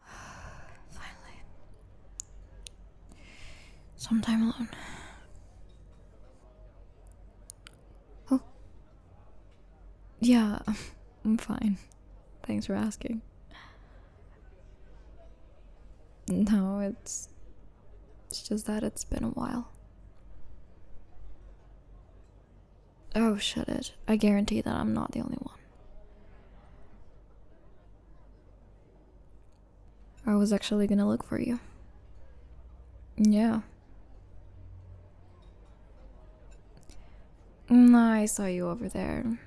Finally. Sometime alone. Oh. Yeah, I'm fine. Thanks for asking. No, it's. It's just that it's been a while. Oh, shut it. I guarantee that I'm not the only one. I was actually gonna look for you. Yeah. Mm, I saw you over there.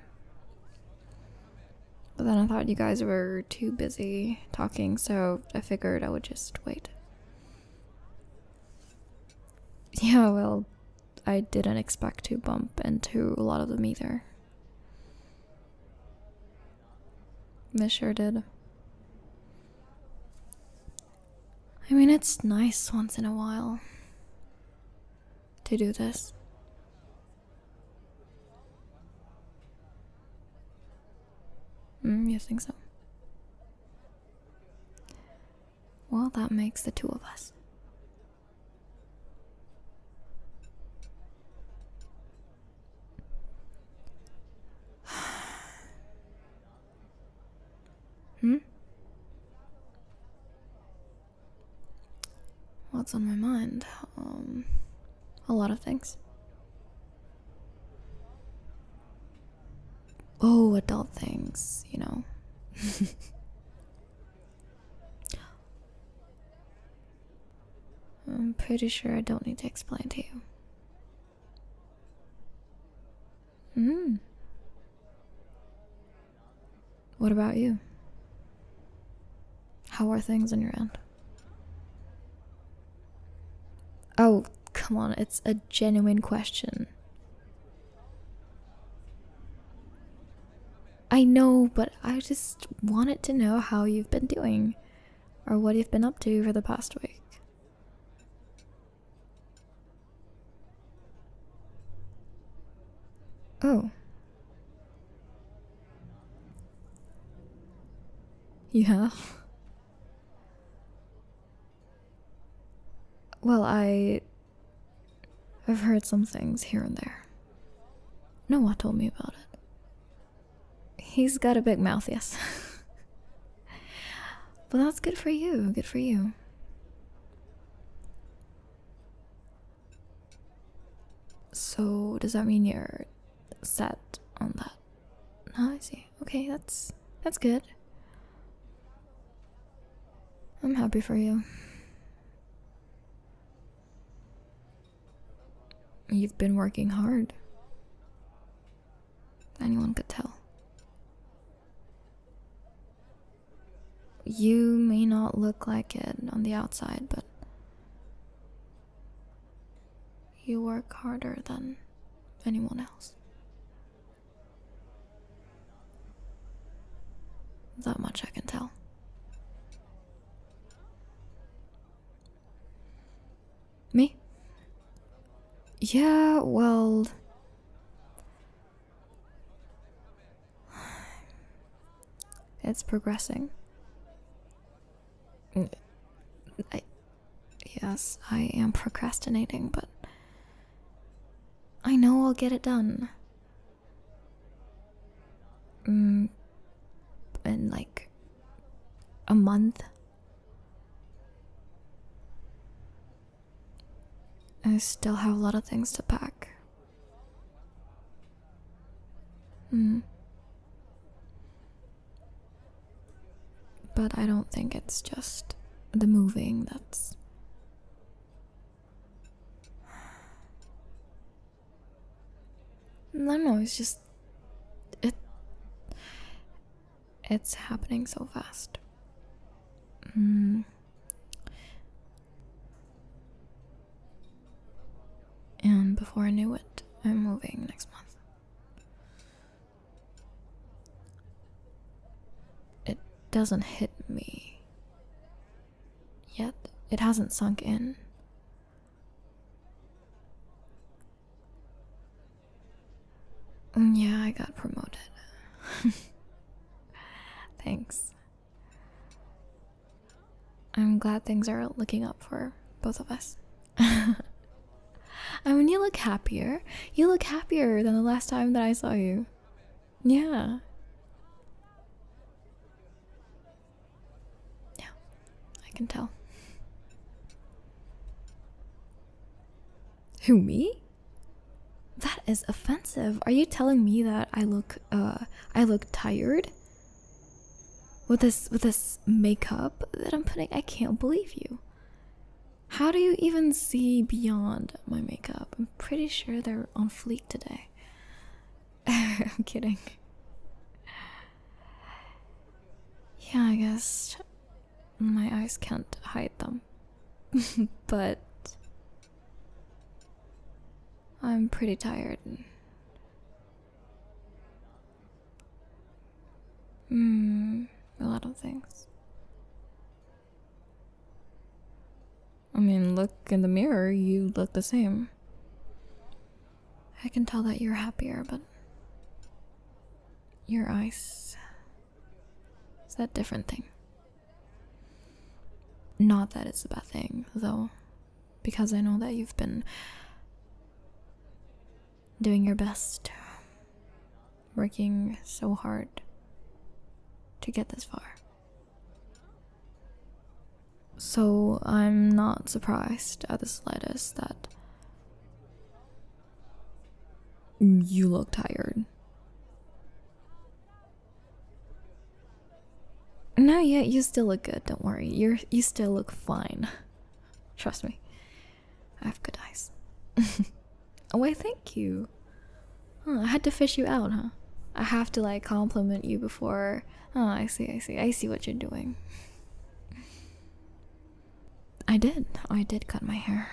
But then I thought you guys were too busy talking, so I figured I would just wait. Yeah, well, I didn't expect to bump into a lot of them either. This sure did. I mean, it's nice once in a while to do this. Mm, you think so? Well, that makes the two of us. hmm? What's on my mind? Um, a lot of things. Oh, adult things, you know. I'm pretty sure I don't need to explain to you. Hmm. What about you? How are things in your end? Oh, come on, it's a genuine question. I know, but I just wanted to know how you've been doing or what you've been up to for the past week. Oh. Yeah. Well, I I've heard some things here and there. Noah told me about it. He's got a big mouth, yes. but that's good for you, good for you. So, does that mean you're set on that? Oh, I see. Okay, that's that's good. I'm happy for you. You've been working hard. Anyone could tell. You may not look like it on the outside, but you work harder than anyone else. That much I can tell. Me? Yeah, well. It's progressing. yes, I am procrastinating, but I know I'll get it done. Mm, in like a month. I still have a lot of things to pack. Mm. But I don't think it's just the moving that's no, no, it's just it it's happening so fast. Mm. And before I knew it, I'm moving next month. It doesn't hit me Yet it hasn't sunk in. Mm, yeah, I got promoted. Thanks. I'm glad things are looking up for both of us. I mean, you look happier. You look happier than the last time that I saw you. Yeah. Yeah, I can tell. Who, me? That is offensive. Are you telling me that I look uh I look tired? With this with this makeup that I'm putting, I can't believe you. How do you even see beyond my makeup? I'm pretty sure they're on. Fleet today. I'm kidding. Yeah, I guess my eyes can't hide them. but I'm pretty tired. Mm, a lot of things. I mean, look in the mirror, you look the same. I can tell that you're happier, but your eyes is that different thing. Not that it's a bad thing, though, because I know that you've been doing your best, working so hard to get this far. So I'm not surprised at the slightest that you look tired. No, yet. you still look good. Don't worry. you you still look fine. Trust me. I have good eyes. oh, I thank you. I had to fish you out, huh? I have to like compliment you before. Oh, I see, I see, I see what you're doing. I did. I did cut my hair.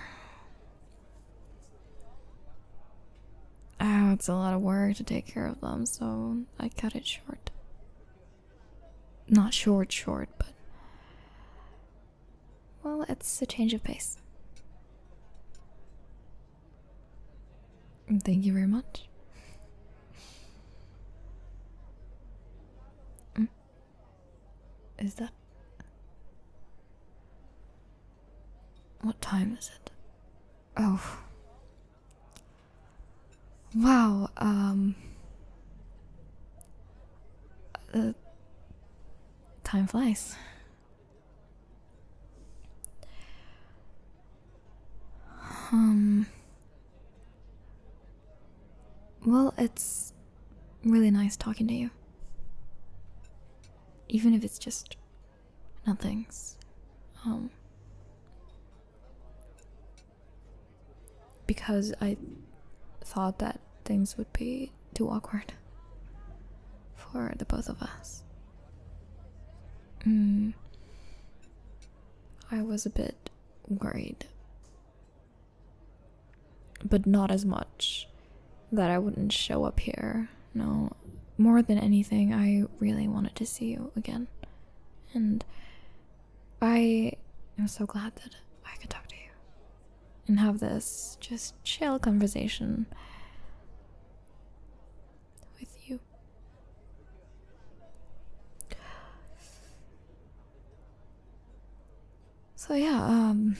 Oh, it's a lot of work to take care of them, so I cut it short. Not short, short, but. Well, it's a change of pace. Thank you very much. Mm. Is that. What time is it? Oh. Wow, um. Uh, time flies. Um. Well, it's really nice talking to you. Even if it's just nothings. Um. Because I thought that things would be too awkward for the both of us. Mm. I was a bit worried. But not as much that I wouldn't show up here. No, more than anything, I really wanted to see you again. And I am so glad that I could talk to you and have this just chill conversation with you. So yeah, um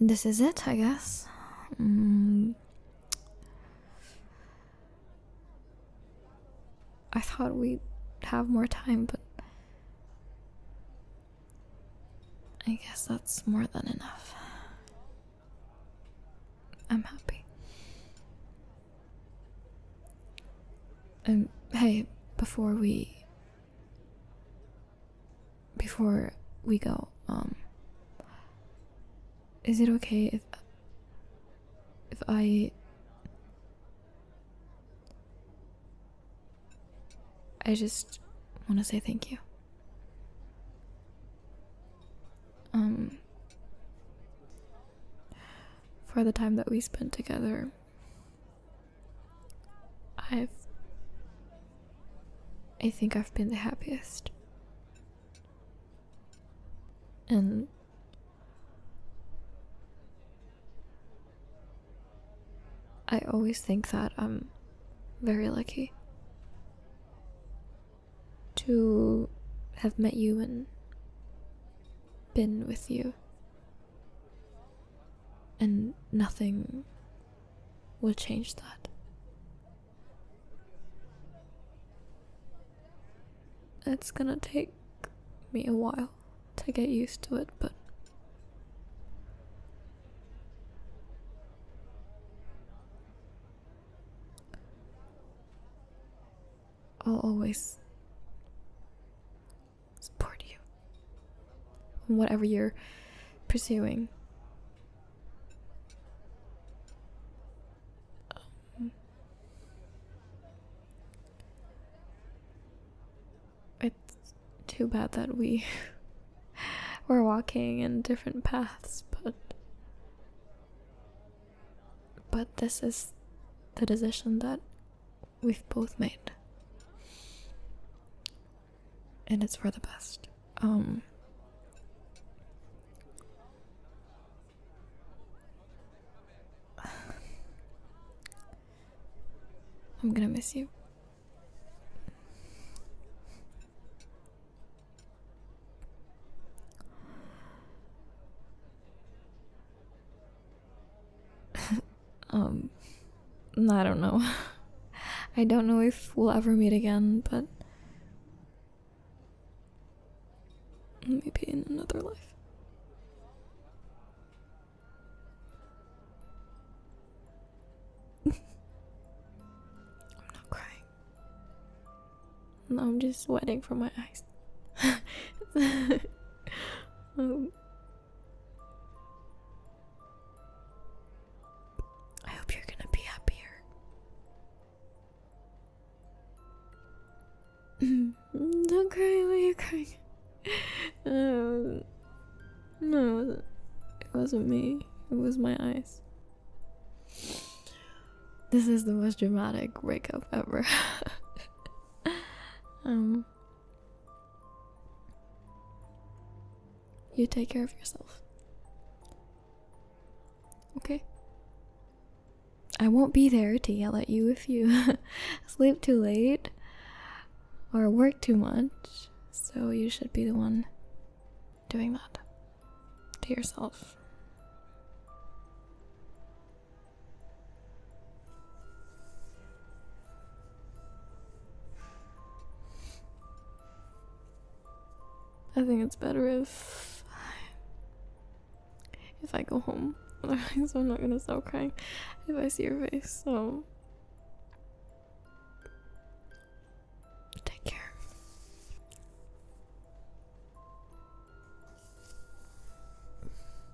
this is it, I guess. Mm. I thought we'd have more time, but I guess that's more than enough. I'm happy. And um, hey, before we. Before we go, um. Is it okay if. If I. I just want to say thank you. Um, for the time that we spent together i've i think i've been the happiest and i always think that i'm very lucky to have met you and been with you. And nothing will change that. It's gonna take me a while to get used to it, but I'll always support you in whatever you're pursuing. Um, it's too bad that we We're walking in different paths, but but this is the decision that we've both made. And it's for the best. Um I'm gonna miss you. um, I don't know. I don't know if we'll ever meet again, but maybe in another life. I'm not crying. No, I'm just sweating from my eyes. Um, I hope you're gonna be happier. Don't cry Why are you crying. Um, no, it wasn't. me. It was my eyes. This is the most dramatic breakup ever. um, you take care of yourself. Okay. I won't be there to yell at you if you sleep too late or work too much, so you should be the one doing that to yourself. I think it's better if if I go home. Otherwise, I'm not gonna stop crying if I see your face. So Take care.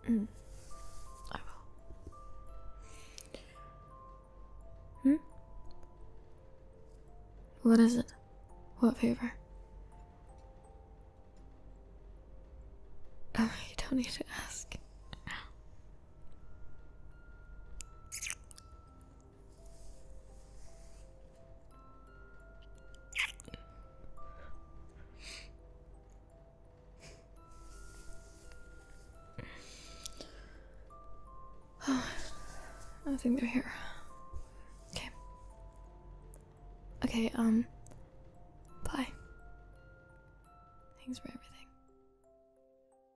Mm. I will. Hmm? What is it? What favor? Oh, you don't need to ask. I think they're here. Okay. Okay, um, bye. Thanks for everything.